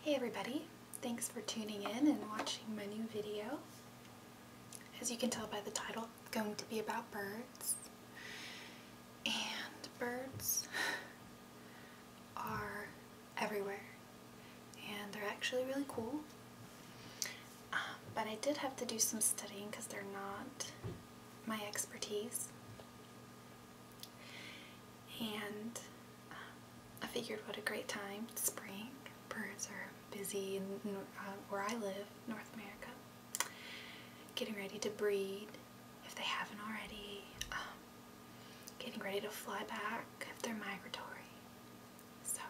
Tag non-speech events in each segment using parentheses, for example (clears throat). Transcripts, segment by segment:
Hey everybody, thanks for tuning in and watching my new video. As you can tell by the title, it's going to be about birds. And birds are everywhere and they're actually really cool. Uh, but I did have to do some studying because they're not my expertise. And um, I figured what a great time, spring. Birds are busy uh, where I live, North America, getting ready to breed if they haven't already, um, getting ready to fly back if they're migratory. So,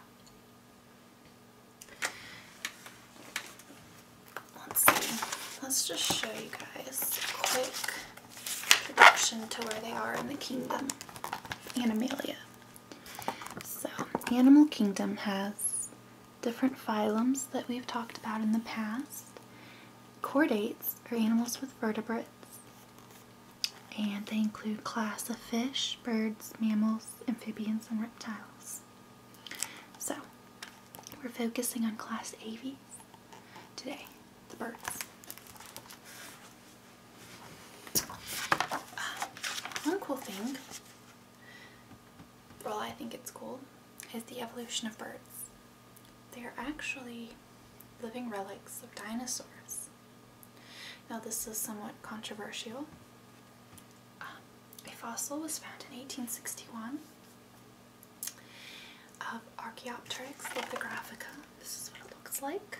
let's let's just show you guys quick. Introduction to where they are in the kingdom, Animalia. So, Animal Kingdom has different phyla that we've talked about in the past. Chordates are animals with vertebrates, and they include class of fish, birds, mammals, amphibians, and reptiles. So, we're focusing on class Aves today the birds. Um, one cool thing, well I think it's cool, is the evolution of birds. They are actually living relics of dinosaurs. Now this is somewhat controversial. Um, a fossil was found in 1861 of Archaeopteryx lithographica. This is what it looks like.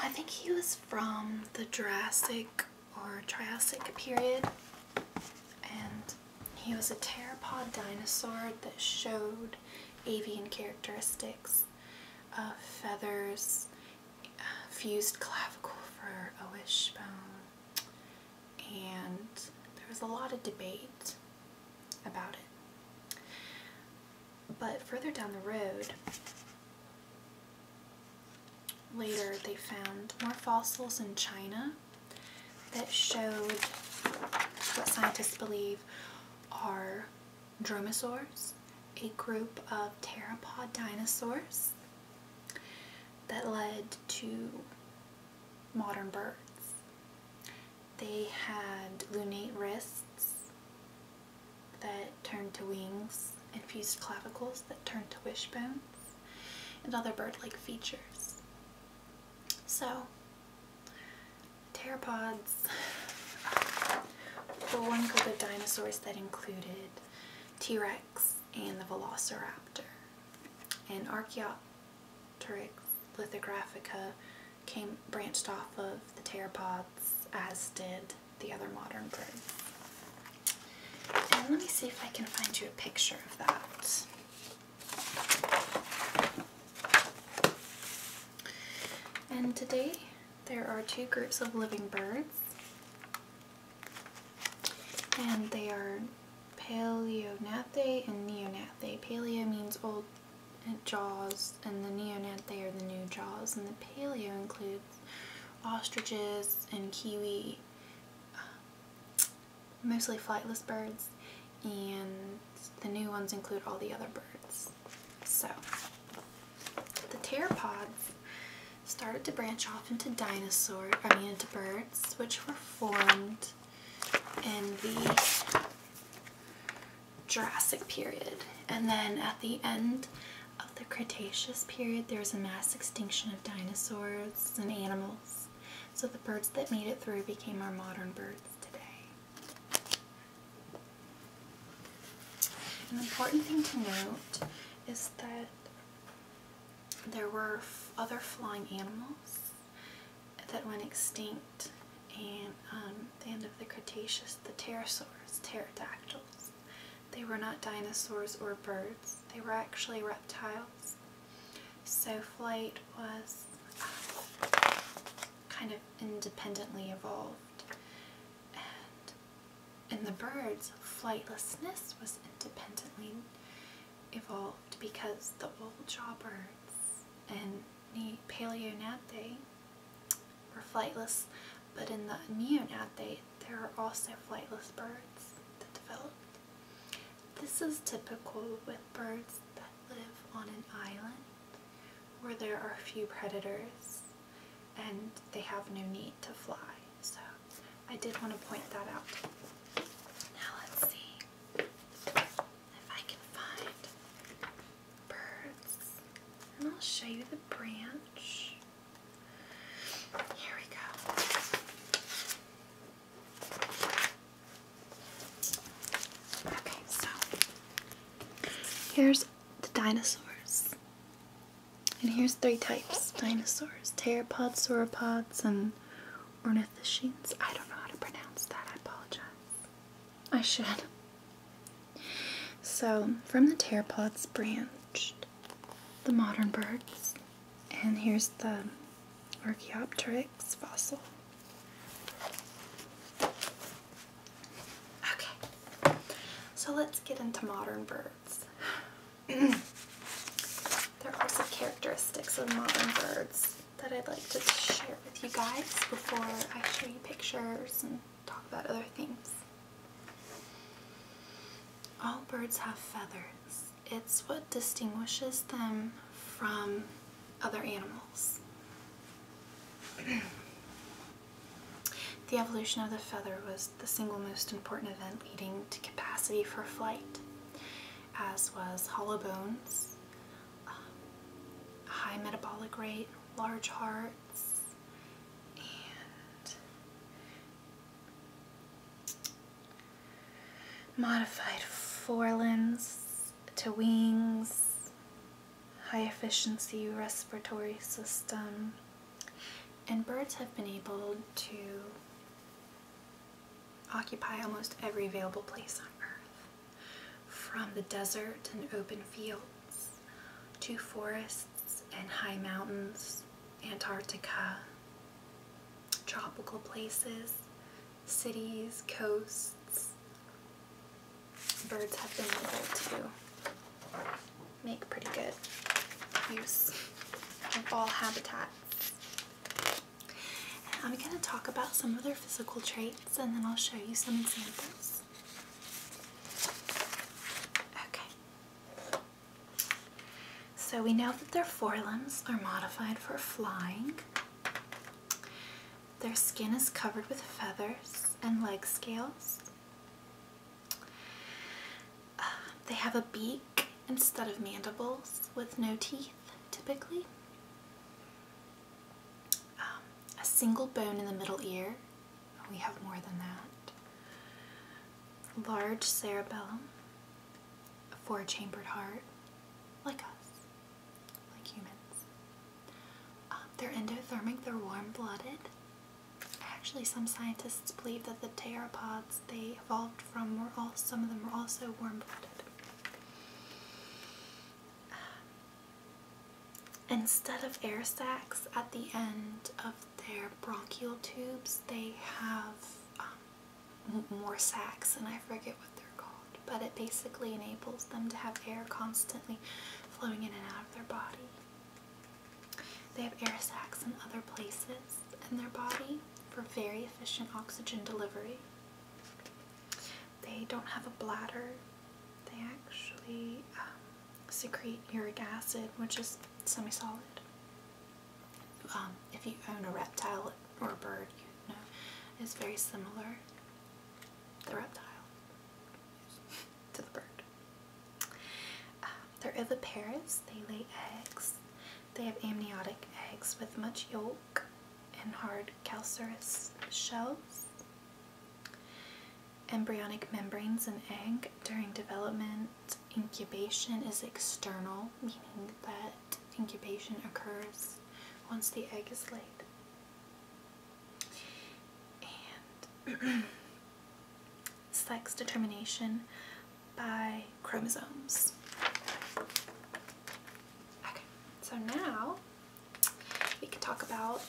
I think he was from the Jurassic or Triassic period and he was a pteropod dinosaur that showed avian characteristics feathers, uh, fused clavicle for a wishbone, and there was a lot of debate about it. But further down the road, later they found more fossils in China that showed what scientists believe are dromosaurs, a group of pteropod dinosaurs that led to modern birds they had lunate wrists that turned to wings, and fused clavicles that turned to wishbones, and other bird-like features. So, pteropods the one group of dinosaurs that included T-Rex and the Velociraptor. And archaeo Turix lithographica came branched off of the pteropods as did the other modern birds. And let me see if I can find you a picture of that. And today there are two groups of living birds and they are Paleonathae and Neonathae. Paleo means old jaws and the Neonathae are the new jaws and the Paleo includes ostriches and kiwi, um, mostly flightless birds, and the new ones include all the other birds. So, the pteropods started to branch off into dinosaurs, I mean into birds, which were formed in the Jurassic period. And then at the end of the Cretaceous period, there was a mass extinction of dinosaurs and animals. So the birds that made it through became our modern birds today. An important thing to note is that there were other flying animals that went extinct and um, the end of the Cretaceous, the pterosaurs, pterodactyls. They were not dinosaurs or birds. They were actually reptiles. So flight was uh, kind of independently evolved. And in the birds, flightlessness was independently evolved because the old jawbirds and the paleonathae were flightless, but in the neonathae there are also flightless birds that developed. This is typical with birds that live on an island where there are few predators and they have no need to fly. So I did want to point that out. Now let's see if I can find birds. And I'll show you the branch. Here we go. Okay, so here's the dinosaurs. And here's three types dinosaurs, pteropods, sauropods, and ornithischians. I don't know how to pronounce that. I apologize. I should. So, from the pteropods branched the modern birds, and here's the Archaeopteryx fossil. Okay, so let's get into modern birds. (clears throat) there are some characteristics of modern birds that I'd like to share with you guys before I show you pictures and talk about other things. All birds have feathers. It's what distinguishes them from other animals. the evolution of the feather was the single most important event leading to capacity for flight as was hollow bones, um, high metabolic rate, large hearts, and modified forelimbs to wings, high efficiency respiratory system. And birds have been able to occupy almost every available place on earth, from the desert and open fields to forests and high mountains, Antarctica, tropical places, cities, coasts. Birds have been able to make pretty good use of all habitats. I'm going to talk about some of their physical traits and then I'll show you some examples. Okay. So we know that their forelimbs are modified for flying. Their skin is covered with feathers and leg scales. Uh, they have a beak instead of mandibles with no teeth typically. Um, a single bone in the middle ear. We have more than that. Large cerebellum. A four chambered heart. Like us. Like humans. Um, they're endothermic. They're warm blooded. Actually, some scientists believe that the pteropods they evolved from were all, some of them were also warm blooded instead of air sacs at the end of their bronchial tubes, they have um, more sacs, and I forget what they're called, but it basically enables them to have air constantly flowing in and out of their body. They have air sacs in other places in their body for very efficient oxygen delivery. They don't have a bladder. They actually um, secrete uric acid, which is semi-solid. Um, if you own a reptile or a bird, you know it's very similar. The reptile (laughs) to the bird. Uh, they're oviparous. They lay eggs. They have amniotic eggs with much yolk and hard calcareous shells. Embryonic membranes and egg during development incubation is external, meaning that incubation occurs once the egg is laid. And (clears throat) sex determination by chromosomes. Okay, so now we can talk about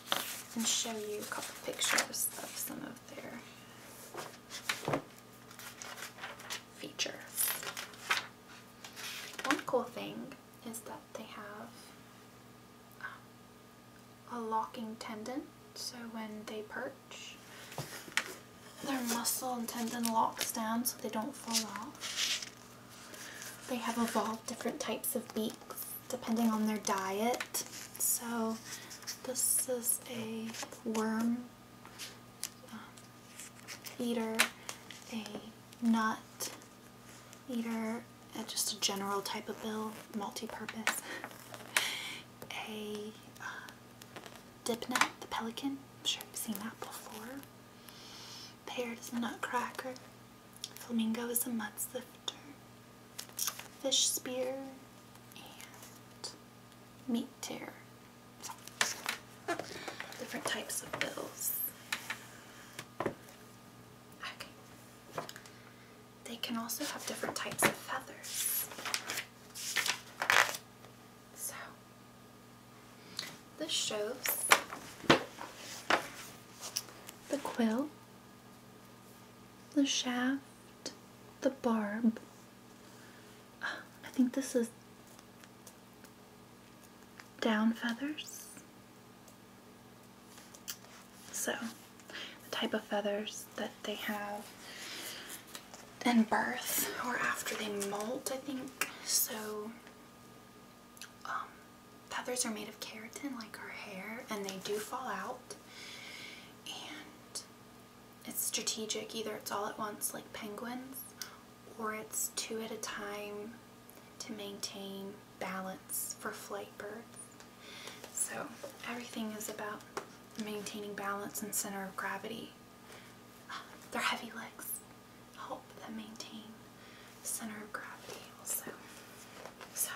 and show you a couple pictures of some of their features. One cool thing is that they have um, a locking tendon, so when they perch, their muscle and tendon locks down so they don't fall off. They have evolved different types of beaks depending on their diet. So this is a worm um, eater, a nut eater, and just a general type of bill, multi-purpose, a uh, dipnet, the pelican. I'm sure you've seen that before. Pear is a nutcracker. Flamingo is a mudslifter. Fish spear and meat tear. Different types of bills. Okay. They can also have different types of feathers. So, this shows the quill, the shaft, the barb. I think this is down feathers. So, the type of feathers that they have in birth or after they molt, I think. So, um, feathers are made of keratin like our hair and they do fall out and it's strategic either it's all at once like penguins or it's two at a time to maintain balance for flight birds so everything is about maintaining balance and center of gravity their heavy legs help them maintain center of gravity also. So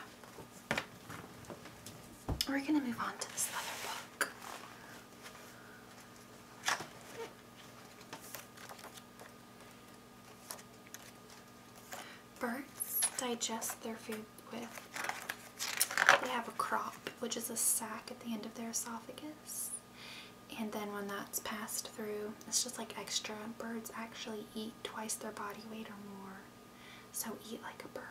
we're gonna move on to this other book. Birds digest their food with, they have a crop, which is a sac at the end of their esophagus and then when that's passed through it's just like extra birds actually eat twice their body weight or more so eat like a bird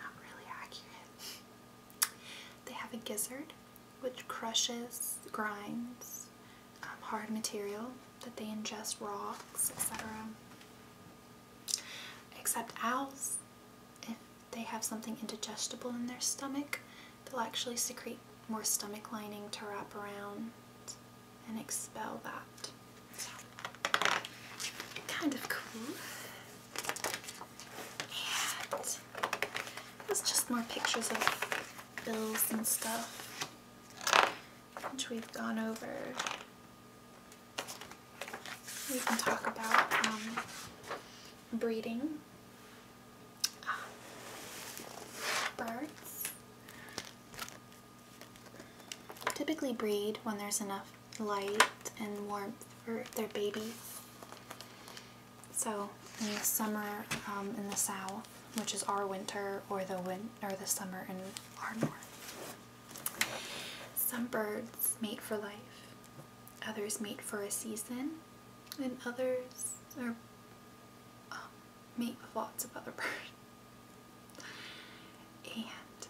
not really accurate (laughs) they have a gizzard which crushes grinds um, hard material that they ingest rocks etc except owls if eh, they have something indigestible in their stomach they'll actually secrete more stomach lining to wrap around and expel that. So, kind of cool. And there's just more pictures of bills and stuff, which we've gone over. We can talk about um, breeding birds typically breed when there's enough light and warmth for their babies. So in the summer um, in the south, which is our winter, or the win or the summer in our north. Some birds mate for life, others mate for a season, and others are um, with lots of other birds. (laughs) And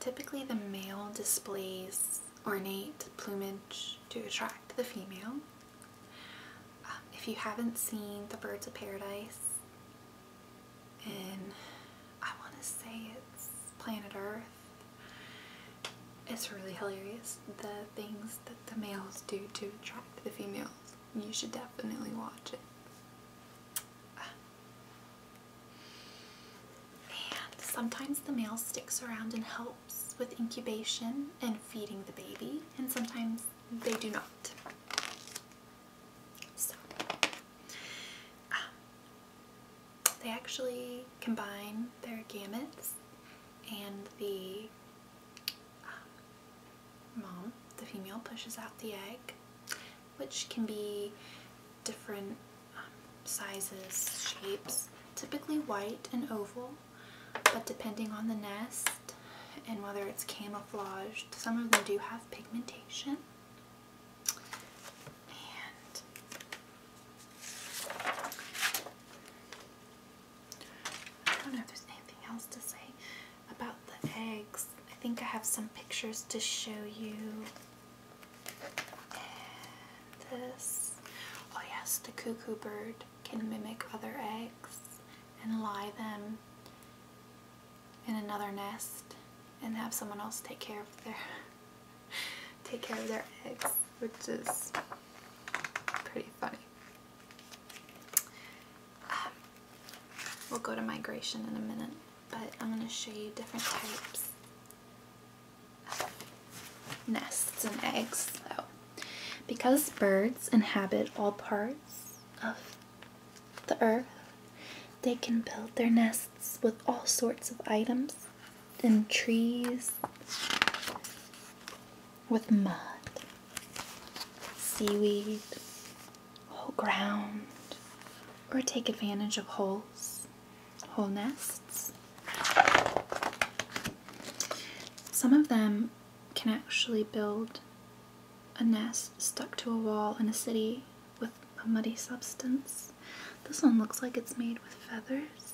typically the male displays ornate plumage to attract the female. Um, if you haven't seen The Birds of Paradise and I want to say it's Planet Earth, it's really hilarious the things that the males do to attract the females. You should definitely watch it. And sometimes the male sticks around and helps with incubation and feeding the baby, and sometimes they do not. So, um, they actually combine their gametes and the um, mom, the female, pushes out the egg, which can be different um, sizes, shapes, typically white and oval, but depending on the nest and whether it's camouflaged, some of them do have pigmentation. I don't know if there's anything else to say about the eggs. I think I have some pictures to show you. this. Oh yes, the cuckoo bird can mimic other eggs and lie them in another nest and have someone else take care of their take care of their eggs, which is pretty funny. Um, we'll go to migration in a minute, but I'm going to show you different types of nests and eggs. So, because birds inhabit all parts of the earth, they can build their nests with all sorts of items and trees with mud, seaweed, whole ground, or take advantage of holes, whole nests. Some of them can actually build a nest stuck to a wall in a city with a muddy substance. This one looks like it's made with feathers.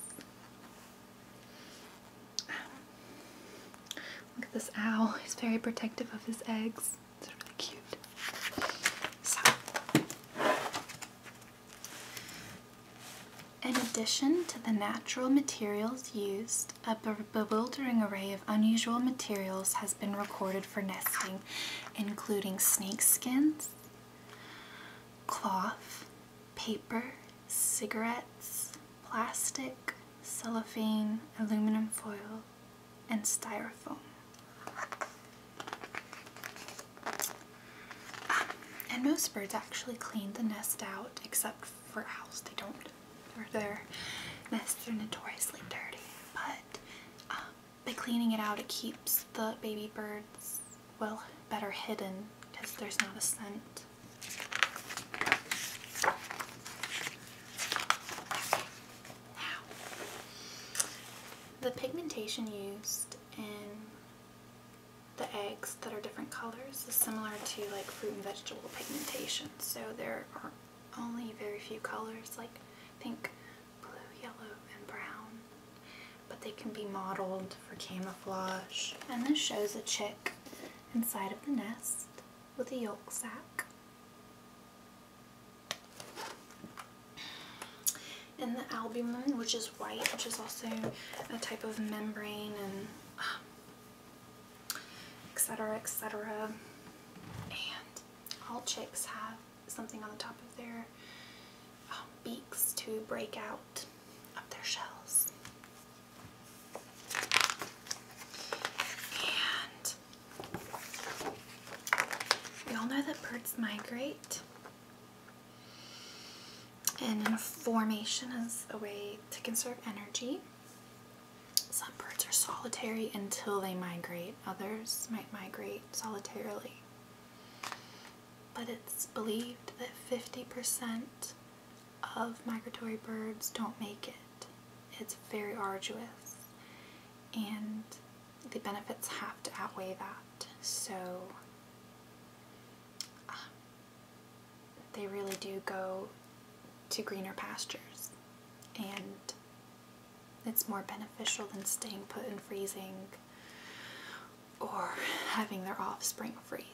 Look at this owl. He's very protective of his eggs. It's really cute. in addition to the natural materials used, a bewildering array of unusual materials has been recorded for nesting, including snake skins, cloth, paper, cigarettes, plastic, cellophane, aluminum foil, and styrofoam. Um, and most birds actually clean the nest out, except for owls. They don't. their nests are notoriously dirty. But by um, cleaning it out, it keeps the baby birds well, better hidden because there's not a scent. Now, the pigmentation used in the eggs that are different colors is similar to like fruit and vegetable pigmentation. So there are only very few colors like pink, blue, yellow, and brown but they can be modeled for camouflage. And this shows a chick inside of the nest with a yolk sac. And the albumen, which is white, which is also a type of membrane and etc. Um, etc. And all chicks have something on the top of their um, beaks to break out of their shells. And we all know that birds migrate. And formation is a way to conserve energy. Some birds are solitary until they migrate. Others might migrate solitarily. But it's believed that 50% of migratory birds don't make it. It's very arduous, and the benefits have to outweigh that. So um, they really do go to greener pastures, and it's more beneficial than staying put and freezing or having their offspring freeze.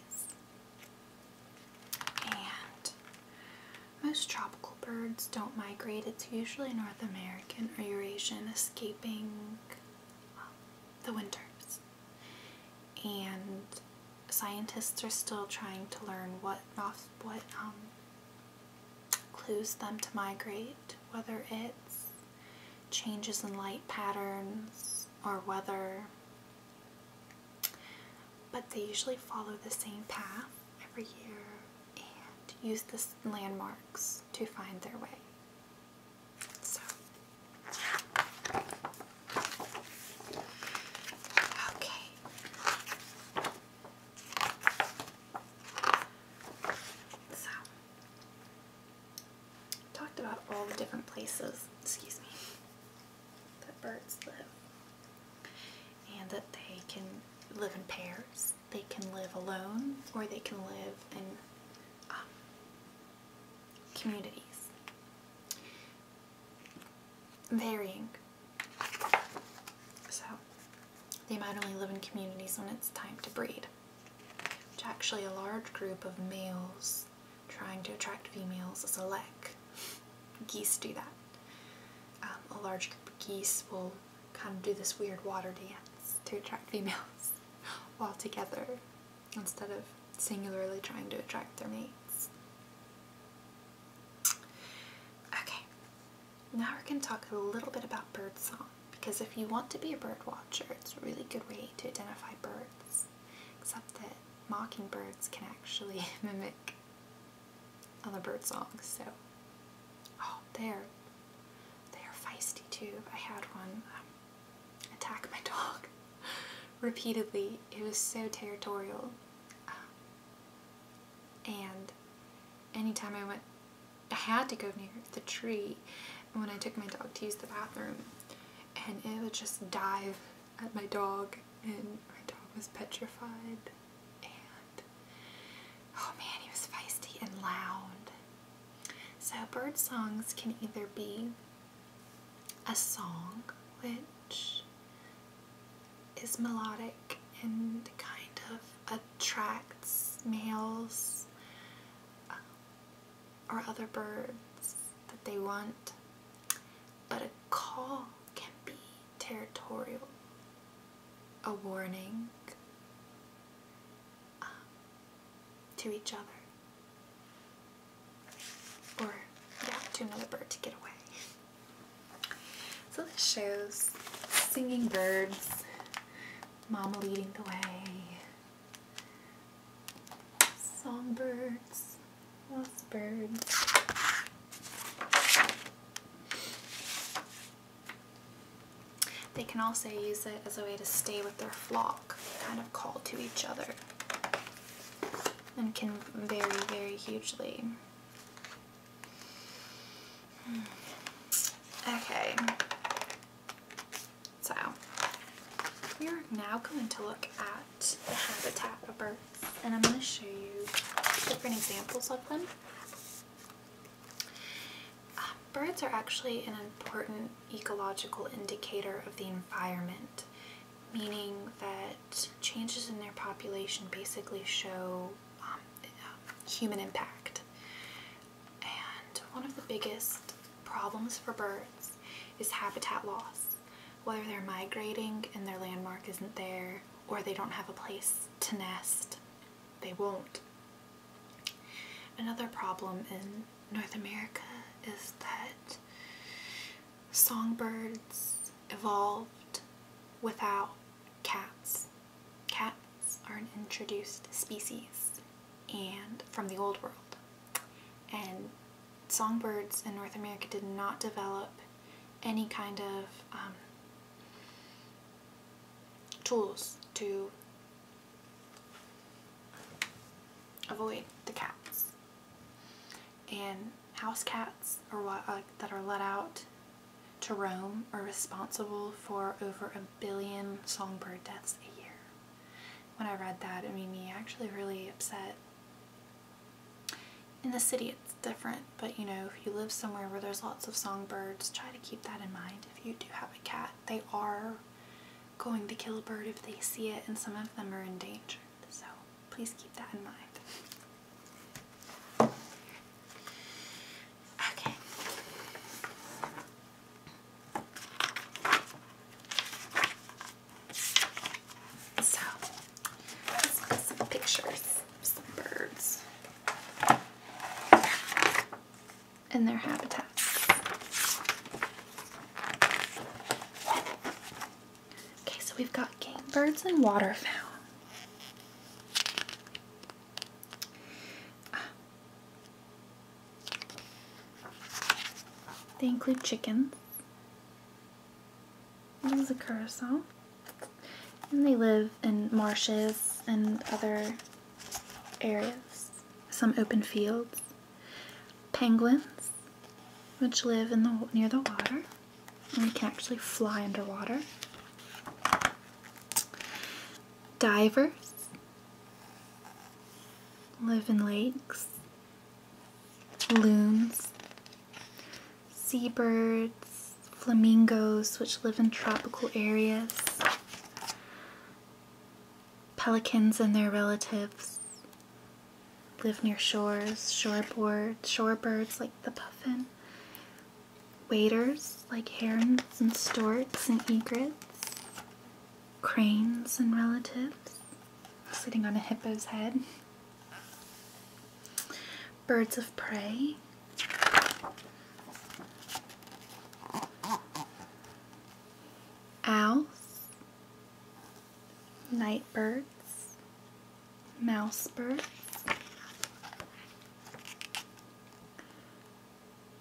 And most tropical birds don't migrate. It's usually North American or Eurasian escaping um, the winters. And scientists are still trying to learn what what um, clues them to migrate, whether it's changes in light patterns or weather but they usually follow the same path every year and use the landmarks to find their way. So, okay. So, talked about all the different places, excuse me, that birds live. And that they can live in pairs, they can live alone, or they can live in um, communities. Varying. So, they might only live in communities when it's time to breed. Which actually a large group of males trying to attract females is a lek. Geese do that. Um, a large group of geese will kind of do this weird water dance to attract (laughs) females all together instead of singularly trying to attract their mates. Okay, now we're going to talk a little bit about bird song because if you want to be a bird watcher, it's a really good way to identify birds except that mockingbirds can actually (laughs) mimic other bird songs. So, oh, they're they are feisty too. I had one um, attack my (laughs) dog repeatedly. It was so territorial, um, and anytime I went, I had to go near the tree when I took my dog to use the bathroom and it would just dive at my dog and my dog was petrified and oh man he was feisty and loud. So bird songs can either be a song which is melodic and kind of attracts males um, or other birds that they want, but a call can be territorial, a warning um, to each other, or yeah, to another bird to get away. So this shows singing birds, mama leading the way, Songbirds, lost birds. They can also use it as a way to stay with their flock, kind of call to each other, and can vary very hugely. Hmm. Okay. So we are now going to look at the habitat of birds and I'm going to show you different examples of them. Uh, birds are actually an important ecological indicator of the environment, meaning that changes in their population basically show um, uh, human impact. And one of the biggest problems for birds is habitat loss, whether they're migrating and their landmark isn't there or they don't have a place to nest. They won't. Another problem in North America is that songbirds evolved without cats. Cats are an introduced species and from the old world. And songbirds in North America did not develop any kind of um, tools to avoid the cats. And house cats are uh, that are let out to roam are responsible for over a billion songbird deaths a year when I read that, I mean, me actually really upset. In the city, it's different, but you know, if you live somewhere where there's lots of songbirds, try to keep that in mind. If you do have a cat, they are going to kill a bird if they see it, and some of them are endangered, so please keep that in mind. Okay. So, let's look at some pictures of some birds and their habitats. Okay, so we've got game birds and waterfowl. They include chickens. This is a curacao. And they live in marshes and other areas. Some open fields. Penguins, which live in the near the water. And they can actually fly underwater. Divers live in lakes loons, seabirds, flamingos, which live in tropical areas, pelicans and their relatives live near shores, shoreboard, shorebirds like the puffin, waders like herons and storks and egrets, cranes and relatives, sitting on a hippo's head. Birds of prey. Owls. Night birds. Mouse birds.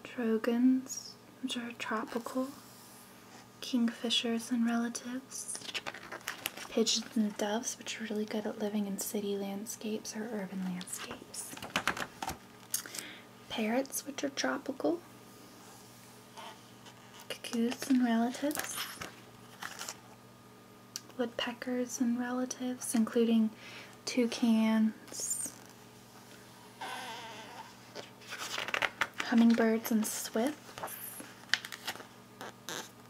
Trogons, which are tropical kingfishers and relatives. Pigeons and doves, which are really good at living in city landscapes or urban landscapes. Parrots, which are tropical. Cuckoos and relatives. Woodpeckers and relatives, including toucans, hummingbirds and swifts,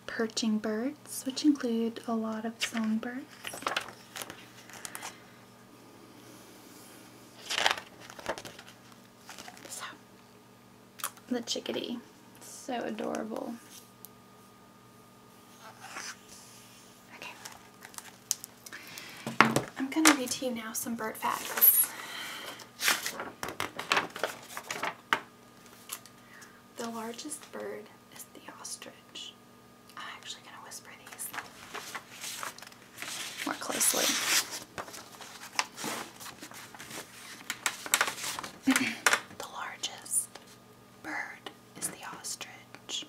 perching birds, which include a lot of songbirds. So, the chickadee, so adorable. Okay. I'm gonna read to you now some bird facts. The largest bird is the ostrich. I'm actually going to whisper these more closely. (clears throat) the largest bird is the ostrich.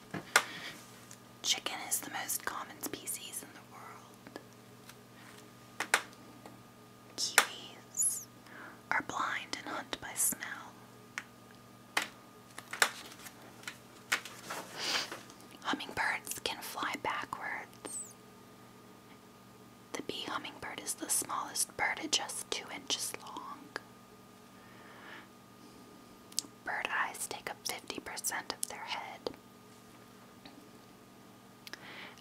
Chicken is the most common species in the world. Kiwis are blind and hunt by smell. Hummingbirds can fly backwards. The bee hummingbird is the smallest bird at just two inches long. Bird eyes take up 50% of their head.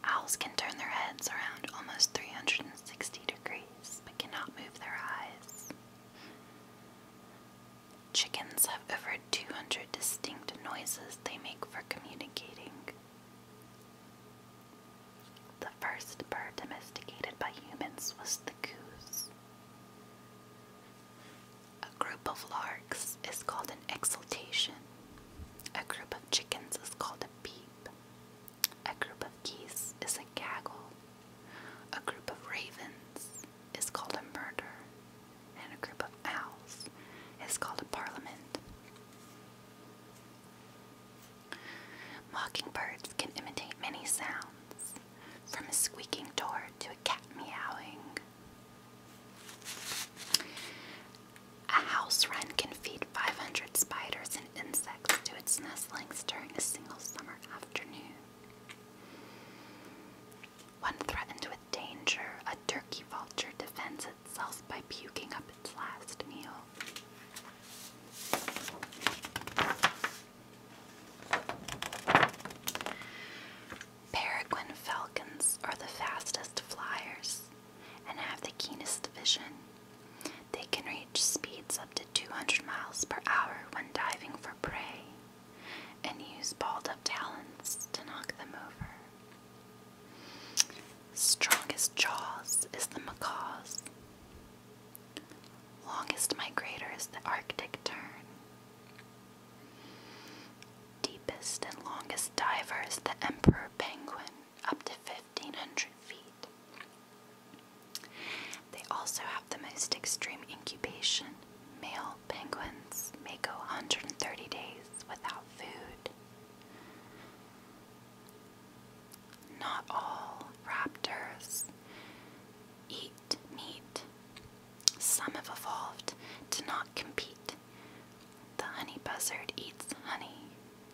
Owls can turn their heads around almost 360 degrees but cannot move their eyes. Chickens have over 200 distinct noises they make for communicating. The first bird domesticated by humans was the goose. A group of larks is called an exultation. A group of chickens is called a peep. A group of geese is a gaggle. A group of ravens is called a murder. And a group of owls is called a parliament. Mockingbirds can imitate many sounds, from a squeaking door to a cat meowing, a house wren can feed 500 spiders and insects to its nestlings during a single summer afternoon. When threatened with danger, a turkey vulture defends itself by puking up its last meal. Peregrine falcons are the fastest flyers and have the keenest vision. They can reach speeds up to 200 miles per hour when diving for prey and use balled up talons to knock them over. Strongest jaws is the macaw's. Longest migrator is the Arctic tern. Deepest and longest diver is the emperor penguin, up to 1500 feet. They also have the most extreme incubation. Male penguins may go 130 days without food. Not all raptors eat meat. Some have evolved to not compete the honey buzzard eats honey.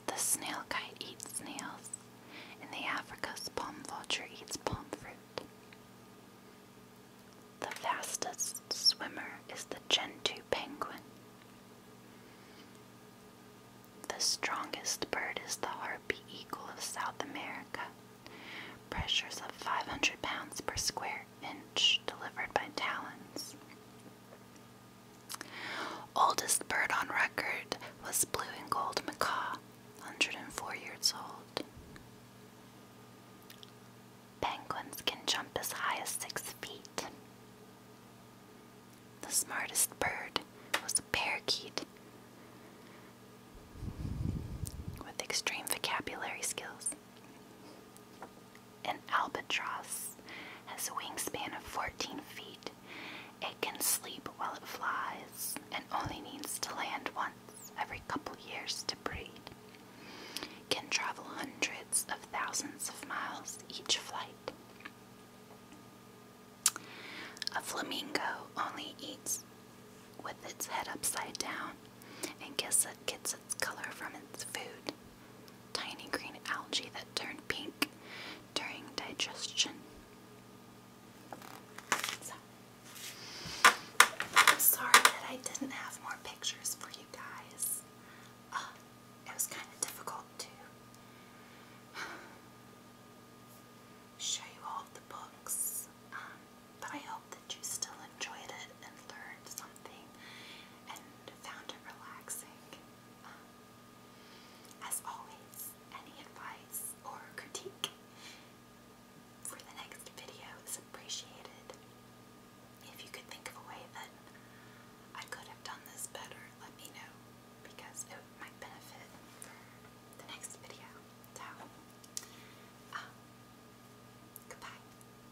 The snail kite eats snails. And the Africa's palm vulture eats palm fruit. The fastest swimmer is the Gentoo penguin. The strongest bird is the harpy eagle of South America. Pressures of 500 pounds per square inch delivered by talons. Oldest bird on record was blue and gold macaw, 104 years old. Penguins can jump as high as 6 feet. The smartest bird was a parakeet with extreme vocabulary skills. An albatross has a wingspan of 14 feet. It can sleep while it flies and only needs to land once every couple years to breed. Can travel hundreds of thousands of miles each flight. A flamingo only eats with its head upside down and guess it gets its color from its food. Tiny green algae that turn pink during digestion. sorry that I didn't have more pictures for you guys. Uh, it was kind of difficult to show you all the books, um, but I hope that you still enjoyed it and learned something and found it relaxing. Um, as always, any advice or critique for the next video is appreciated. If you could think of a way that I could have done this better, let me know because it might benefit the next video. So, um, goodbye.